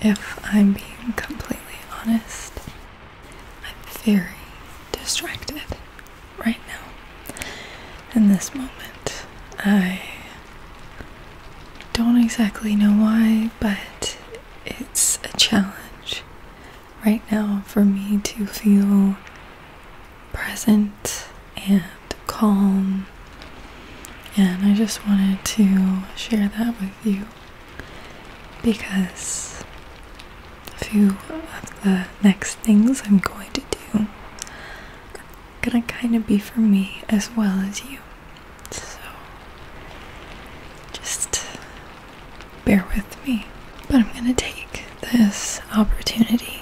If I'm being completely honest, I'm very distracted right now. In this moment, I don't exactly know why, but it's a challenge right now for me to feel present and calm. And I just wanted to share that with you because a few of the next things I'm going to do are gonna kind of be for me as well as you. So just bear with me, but I'm going to take this opportunity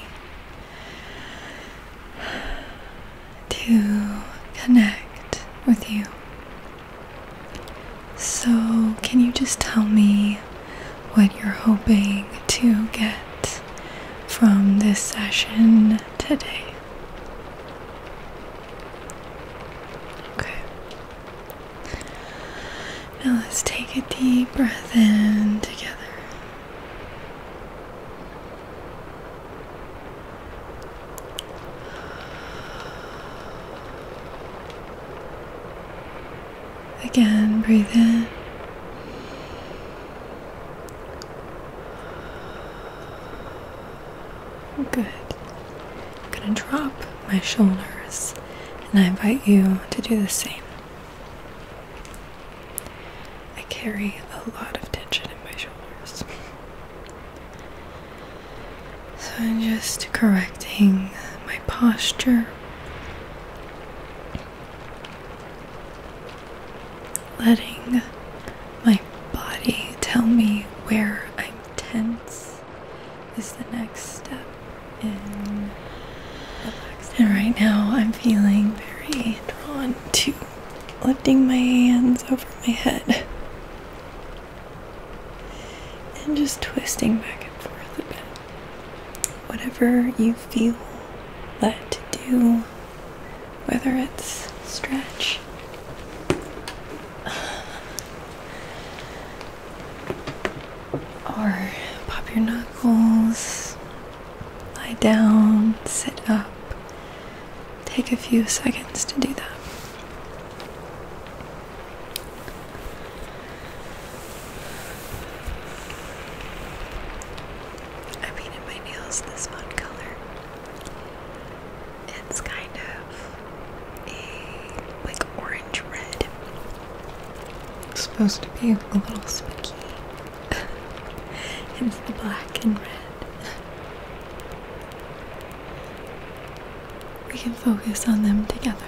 to connect with you. So, can you just tell me what you're hoping to get from this session today? Okay. Now let's take a deep breath in together. Again, breathe in. Good. I'm going to drop my shoulders, and I invite you to do the same. I carry a lot of tension in my shoulders. So I'm just correcting my posture. Letting my body tell me where I'm tense this is the next step in relaxing. And right now I'm feeling very drawn to lifting my hands over my head and just twisting back and forth a bit. Whatever you feel led to do, whether it's stretch. Or pop your knuckles, lie down, sit up. Take a few seconds to do that. I painted my nails this one color. It's kind of a like orange red. It's supposed to be a little spooky. it's the black and red. we can focus on them together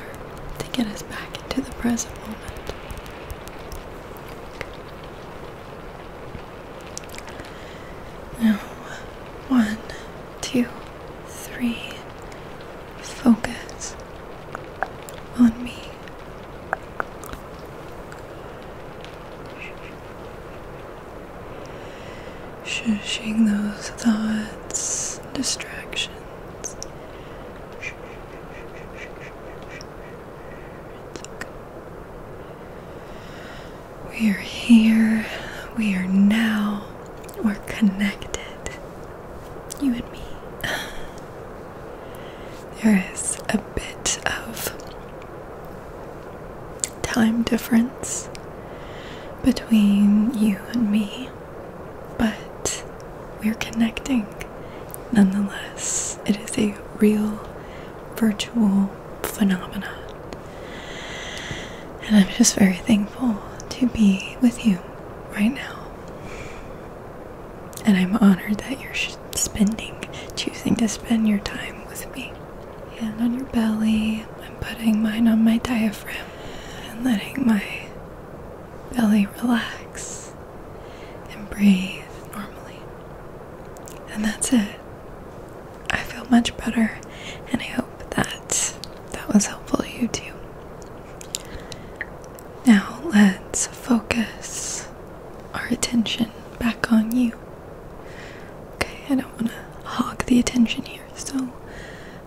to get us back into the present moment. Now, one, two, three, focus on me. Shushing those thoughts, distractions. We are here, we are now, we're connected. You and me. There is a bit of time difference between you and me, but we're connecting nonetheless. It is a real virtual phenomenon. And I'm just very thankful to be with you right now. And I'm honored that you're spending, choosing to spend your time with me. Hand on your belly. I'm putting mine on my diaphragm and letting my belly relax and breathe normally. And that's it. I feel much better, and I hope that that was helpful to you too. Now let's focus our attention back on you. Okay, I don't want to hog the attention here, so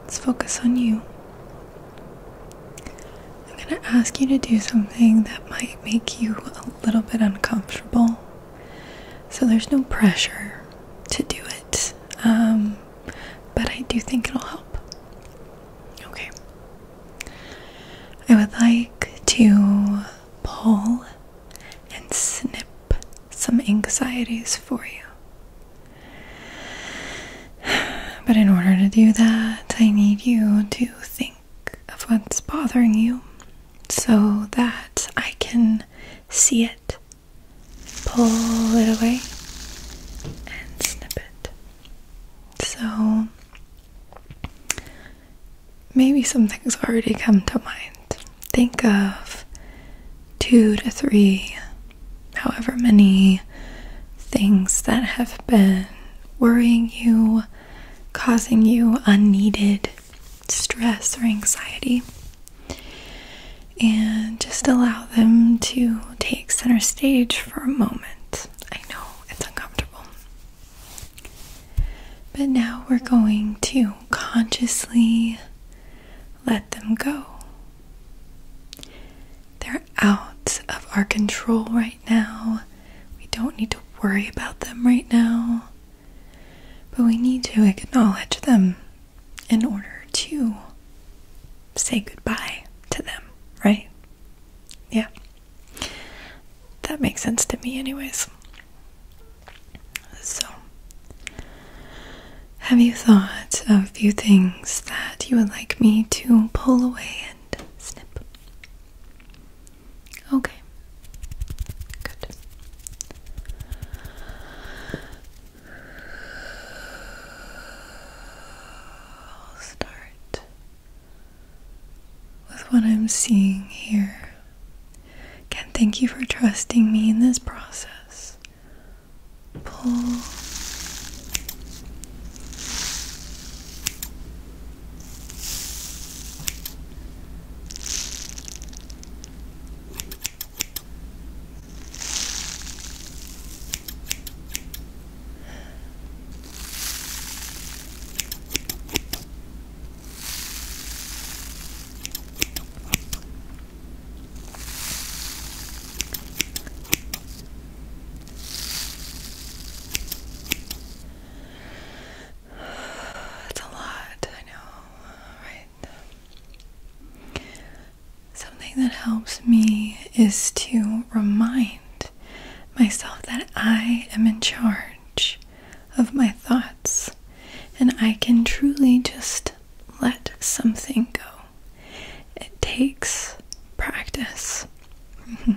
let's focus on you. I'm going to ask you to do something that might make you a little bit uncomfortable. So there's no pressure to do it, um, but I do think it'll help. Okay. I would like to pull and snip some anxieties for you. But in order to do that, I need you to think of what's bothering you so that I can see it, pull it away, and snip it. So maybe some things already come to mind. Think of two to three, however many things that have been worrying you, causing you unneeded stress or anxiety and just allow them to take center stage for a moment. I know it's uncomfortable. But now we're going to consciously let them go. They're out of our control right now. We don't need to worry about them right now. But we need to acknowledge them in order to say goodbye to them, right? Yeah. That makes sense to me, anyways. So, have you thought of a few things that you would like me to pull away and snip? Okay. Good. I'll start with what I'm seeing here. Again, thank you for trusting me in this process. Pull. It's a lot, I know, right? Something that helps me is to remind myself that I am in charge of my thoughts and I can truly just let something go. It takes practice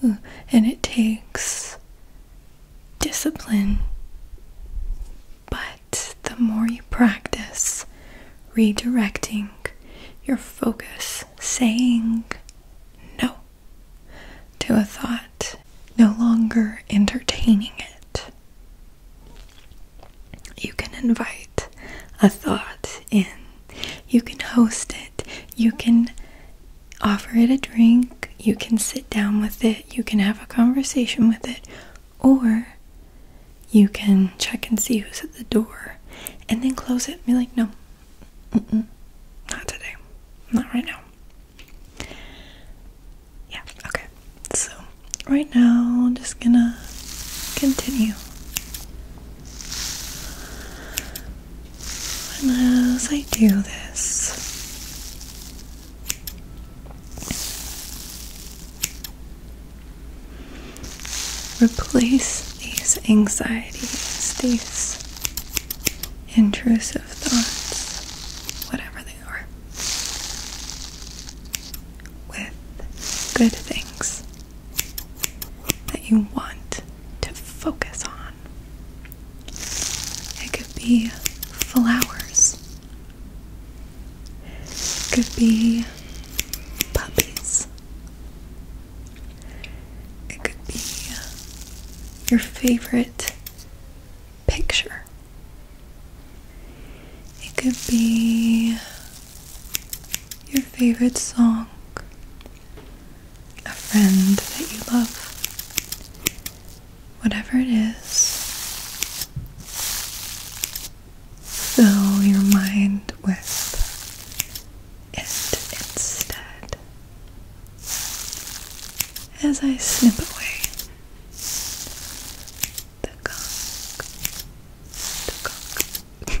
and it takes discipline, but the more you practice redirecting your focus, saying no to a thought, no longer entertaining it. You can invite a thought in, you can host it, you can offer it a drink, you can sit down with it, you can have a conversation with it, or you can check and see who's at the door and then close it and be like, no, mm -mm, not today, not right now. Yeah, okay. So, right now, I'm just gonna continue. And as I do this, Replace these anxieties, these intrusive thoughts, whatever they are, with good things that you want to focus on. It could be flowers. Could be puppies. It could be your favorite picture. It could be your favorite song, a friend that you love. Whatever it is, fill your mind with it instead as I snip away the gunk, the gunk.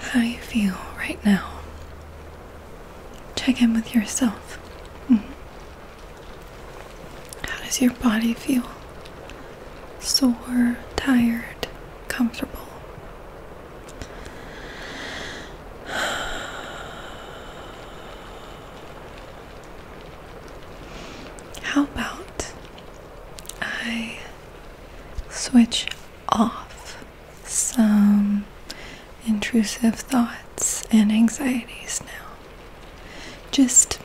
How you feel right now? Check in with yourself. Mm-hmm. How does your body feel? Sore, tired, comfortable. How about I switch off some intrusive thoughts and anxieties now? Just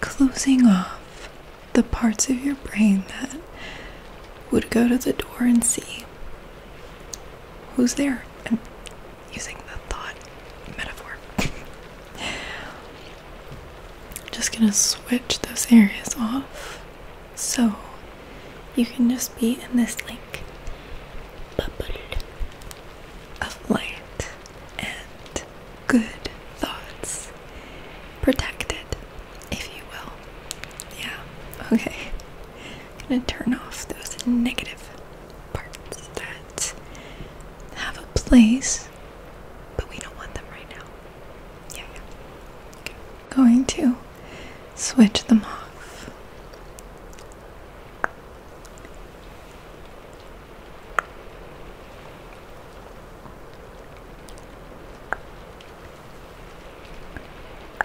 closing off the parts of your brain that would go to the door and see who's there. I'm using the thought metaphor. just gonna switch those areas off so you can just be in this like bubble of light and good thoughts protected if you will. Yeah, okay. I'm gonna turn off those negative parts that have a place, but we don't want them right now. Yeah, yeah. Going to switch them off. How does that feel?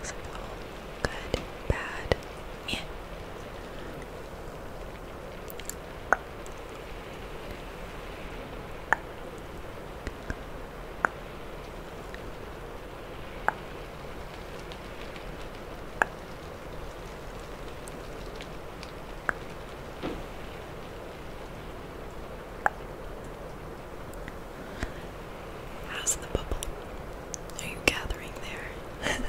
Does it feel good? Bad? Yeah. Good. How's the bubble? Are you gathering there?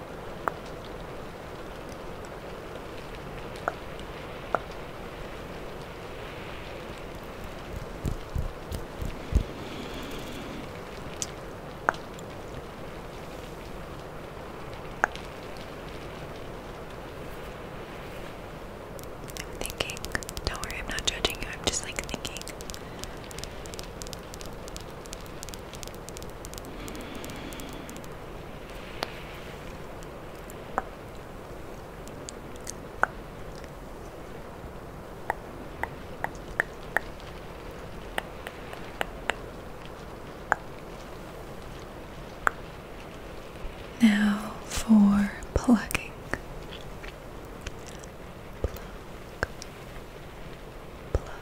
I'm thinking, don't worry, I'm not judging you, I'm just like thinking now for plucking. Pluck, pluck,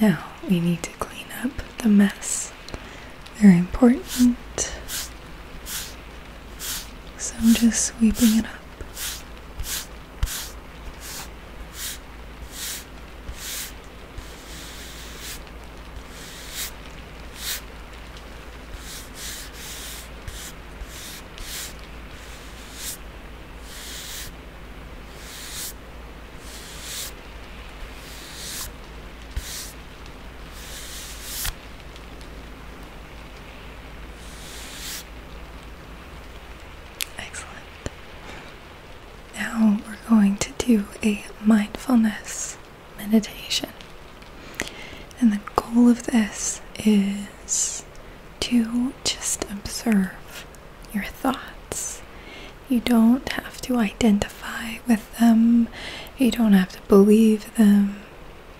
Now we need to clean up the mess. They're important. So I'm just sweeping it up. Excellent. Now we're going to do a mindfulness meditation. And the goal of this is to just observe your thoughts. You don't have to identify with them, you don't have to believe them,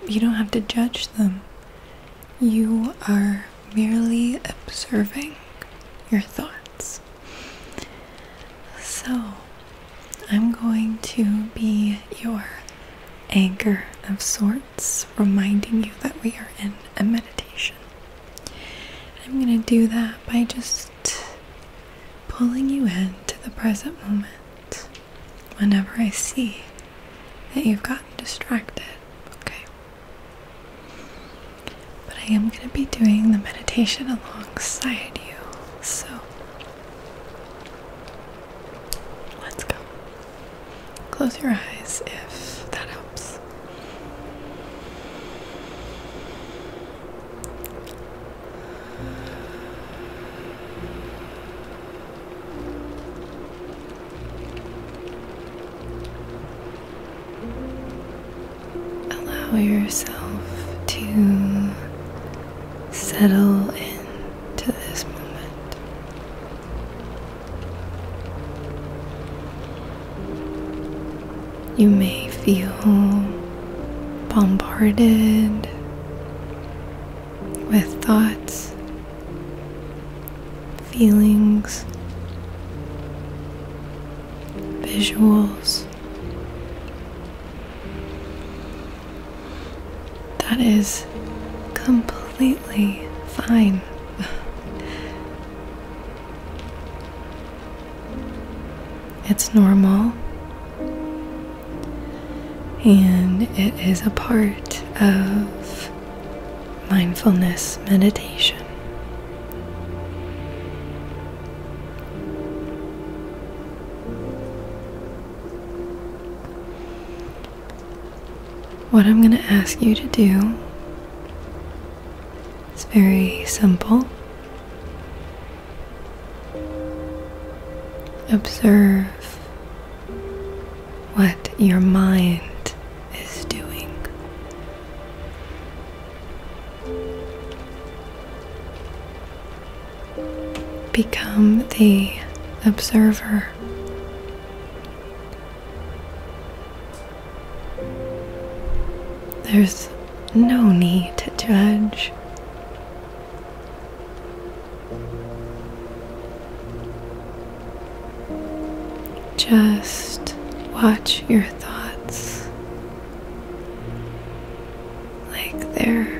you don't have to judge them. You are merely observing your thoughts. So, I'm going to be your anchor of sorts reminding you that we are in a meditation. I'm going to do that by just pulling you in to the present moment whenever I see that you've gotten distracted. Okay. But I am going to be doing the meditation alongside you. So let's go. Close your eyes if that helps. Allow yourself to settle into this moment. You may feel bombarded with thoughts, feelings, visuals. That is complete completely fine. It's normal. And it is a part of mindfulness meditation. What I'm going to ask you to do is very simple. Observe what your mind is doing. Become the observer there's no need to judge. Just watch your thoughts like they're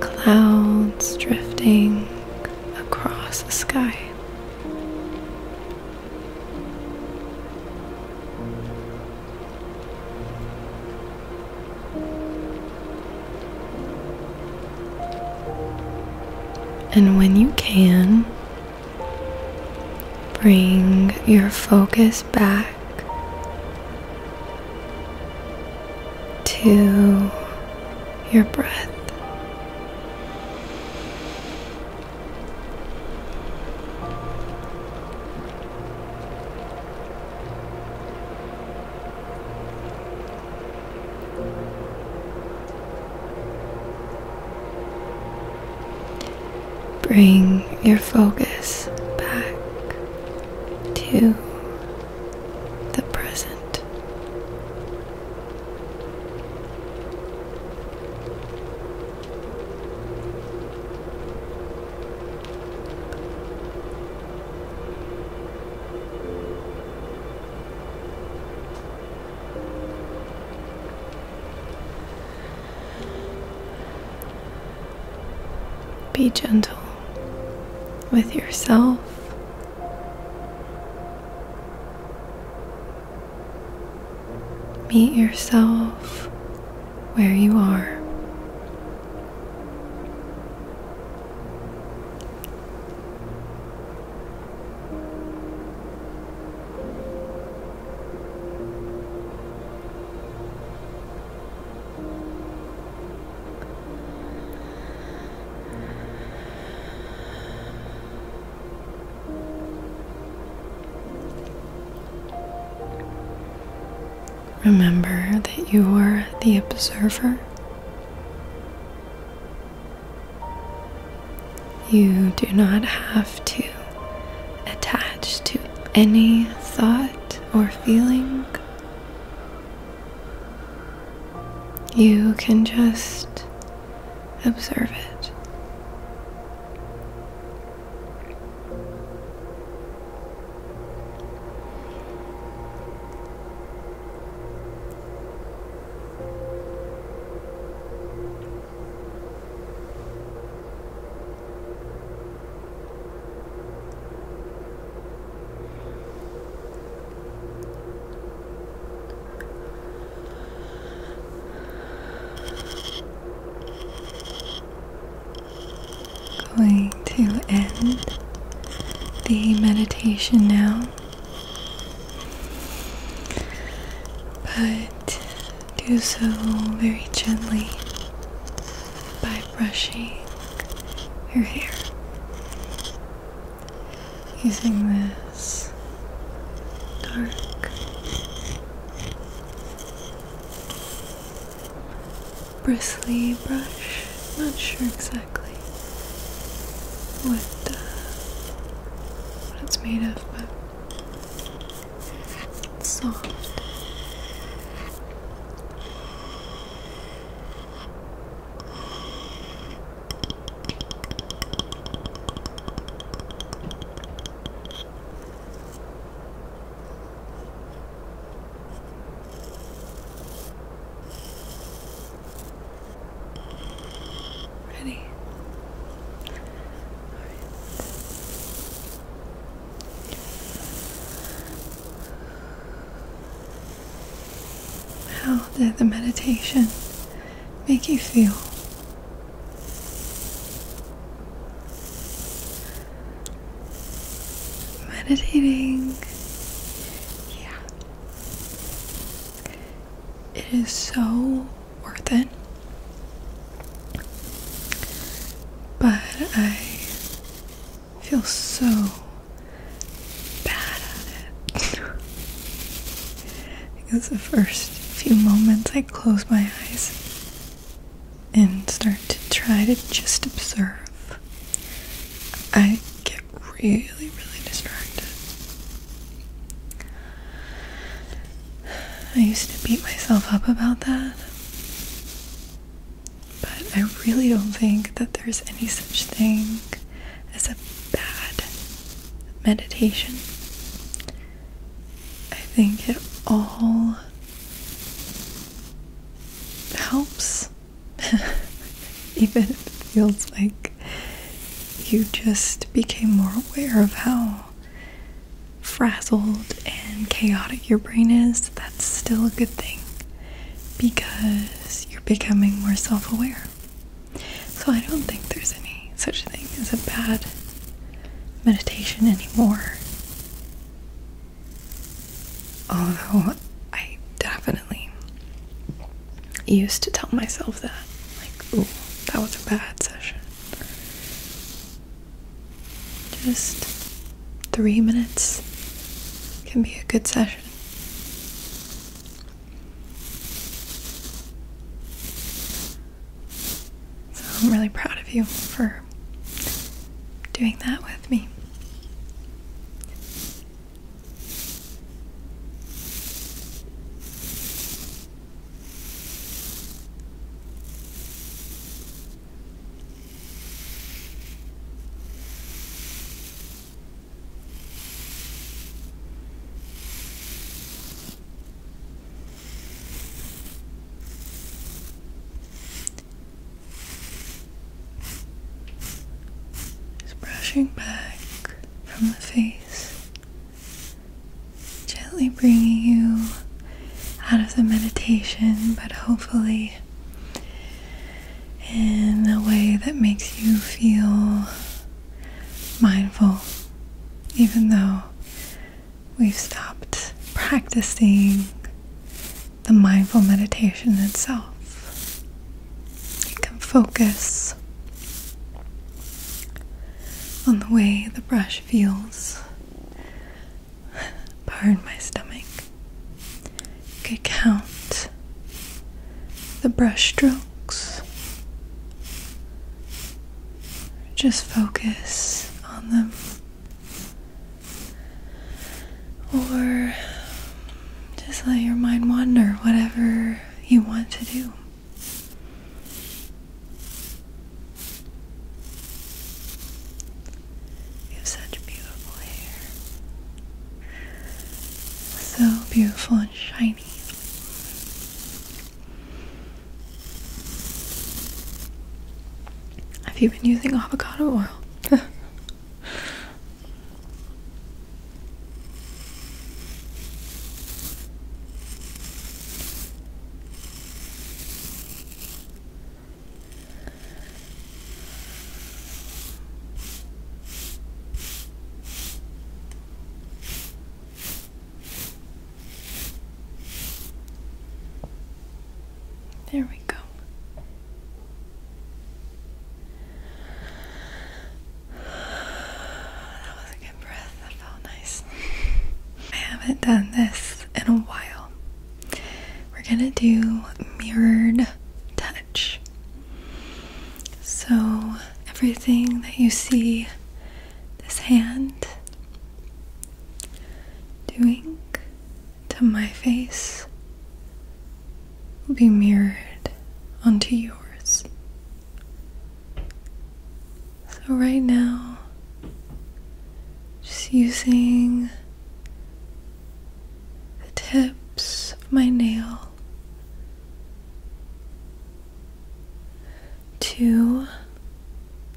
clouds drifting across the sky. And when you can, bring your focus back to your breath. Bring your focus back to the present. Be gentle with yourself Meet yourself where you are. Remember that you are the observer. You do not have to attach to any thought or feeling. You can just observe it. Going to end the meditation now, but do so very gently by brushing your hair using this dark bristly brush, not sure exactly what, uh, what it's made of, but it's soft. Ready? All right. How did the meditation make you feel? Meditating, yeah, it is so worth it. But I feel so bad at it. because the first few moments I close my eyes and start to try to just observe, I get really, really distracted. I used to beat myself up about that. But I really don't think that there's any such thing as a bad meditation. I think it all helps, even if it feels like you just became more aware of how frazzled and chaotic your brain is. That's still a good thing because you're becoming more self aware. So I don't think there's any such thing as a bad meditation anymore. Although I definitely used to tell myself that, like, ooh, that was a bad session. Just three minutes can be a good session. So I'm really proud of you for doing that with me. Just brushing back from the face, gently bringing you out of the meditation, but hopefully in a way that makes you feel mindful, even though we've stopped practicing the mindful meditation itself. You can focus on the way the brush feels. Pardon my stomach could count the brushstrokes. Just focus on them. Or just let your mind wander, whatever you want to do. You have such beautiful hair so beautiful and shiny. Have you been using avocado oil? There we go. That was a good breath. That felt nice. I haven't done this in a while. We're gonna do mirrored touch. So, everything that you see this hand doing to my face will be mirrored onto yours. So, right now, just using the tips of my nail to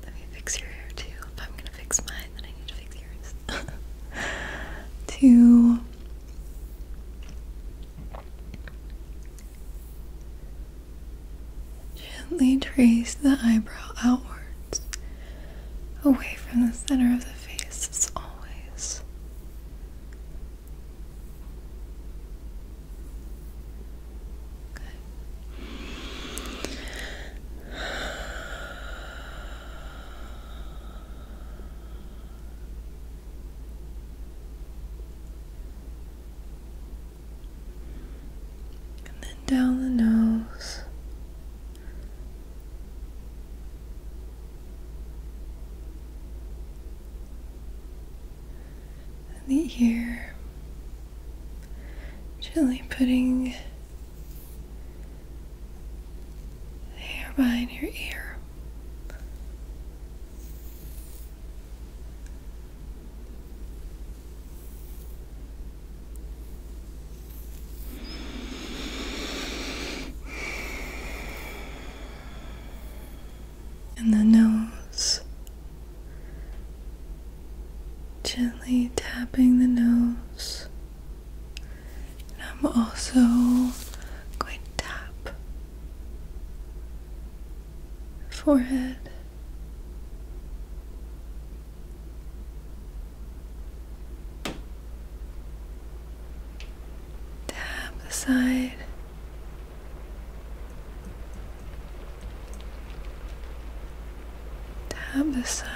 let me fix your hair too. If I'm gonna fix mine, then I need to fix yours. to Gently trace the eyebrow outwards, away from the center of the face as always. And then down the nose the ear, gently putting the hair behind your ear and the nose, gently tapping the nose. And I'm also going to tap forehead. Tap the side. Tap the side.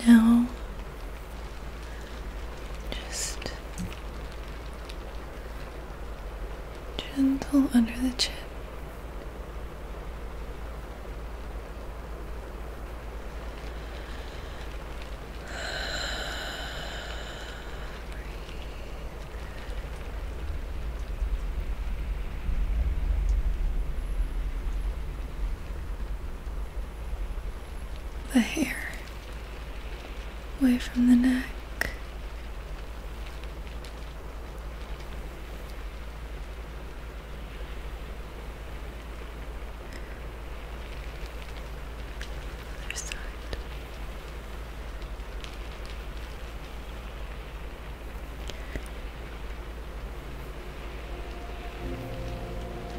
Okay. Now just gentle under the chin. The hair away from the neck. Other side.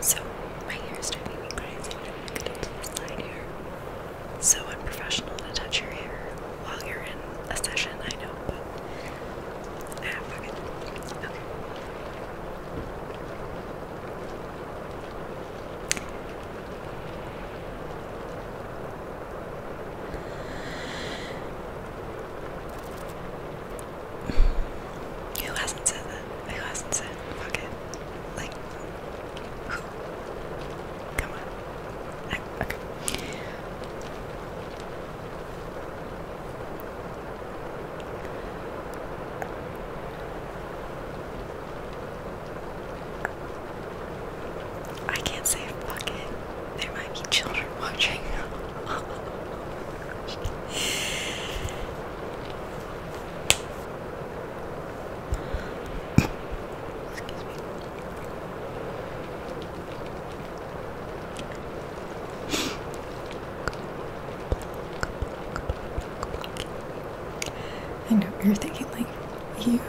So, my hair is driving me crazy. I'm get So unprofessional to touch your hair while you're in a session, I know, but ah, Okay. Who hasn't said that? Who hasn't said fuck it? Like, who? Come on. okay. I can't say fuck it. There might be children watching. I know you're thinking like you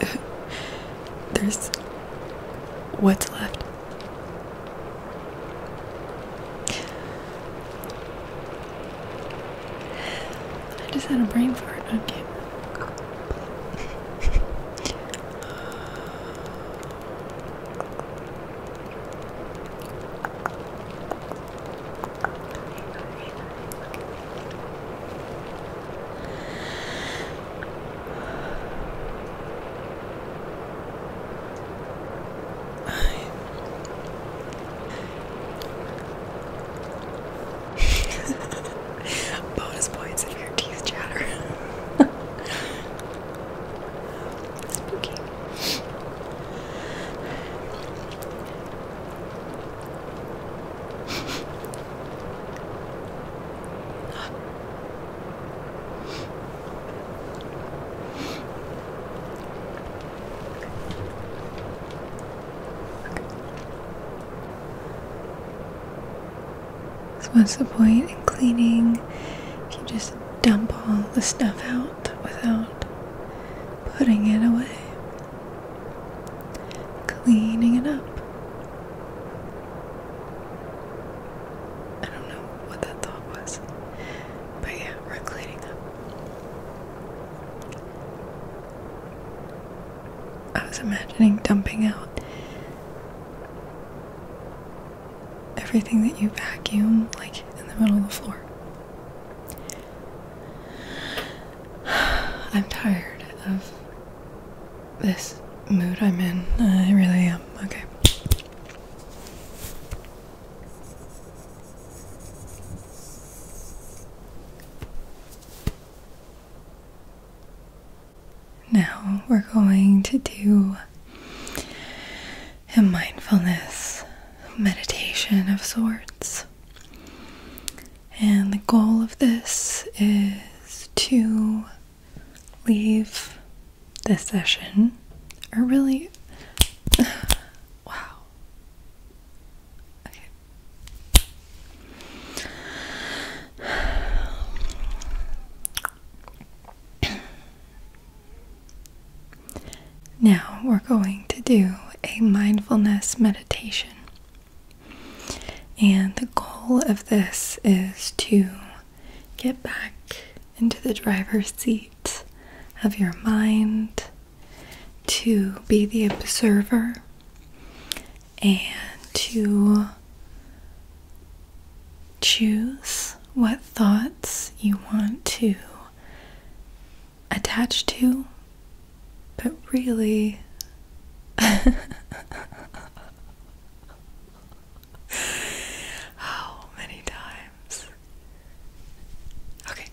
there's what's left I just had a brain fart on okay. camera. Bonus points if your teeth chatter. Spooky. So what's the point in cleaning if you just dump all the stuff out without putting it away? Cleaning it up. I don't know what that thought was. But yeah, we're cleaning up. I was imagining dumping out everything that you vacuum, like in the middle of the floor. I'm tired of this mood I'm in. I really am. Okay. Now we're going to do a mindfulness meditation of sorts. And the goal of this is to leave this session, or really, wow. Now we're going to do a mindfulness meditation. And the goal of this is to get back into the driver's seat of your mind, to be the observer, and to choose what thoughts you want to attach to but really, how many times? Okay.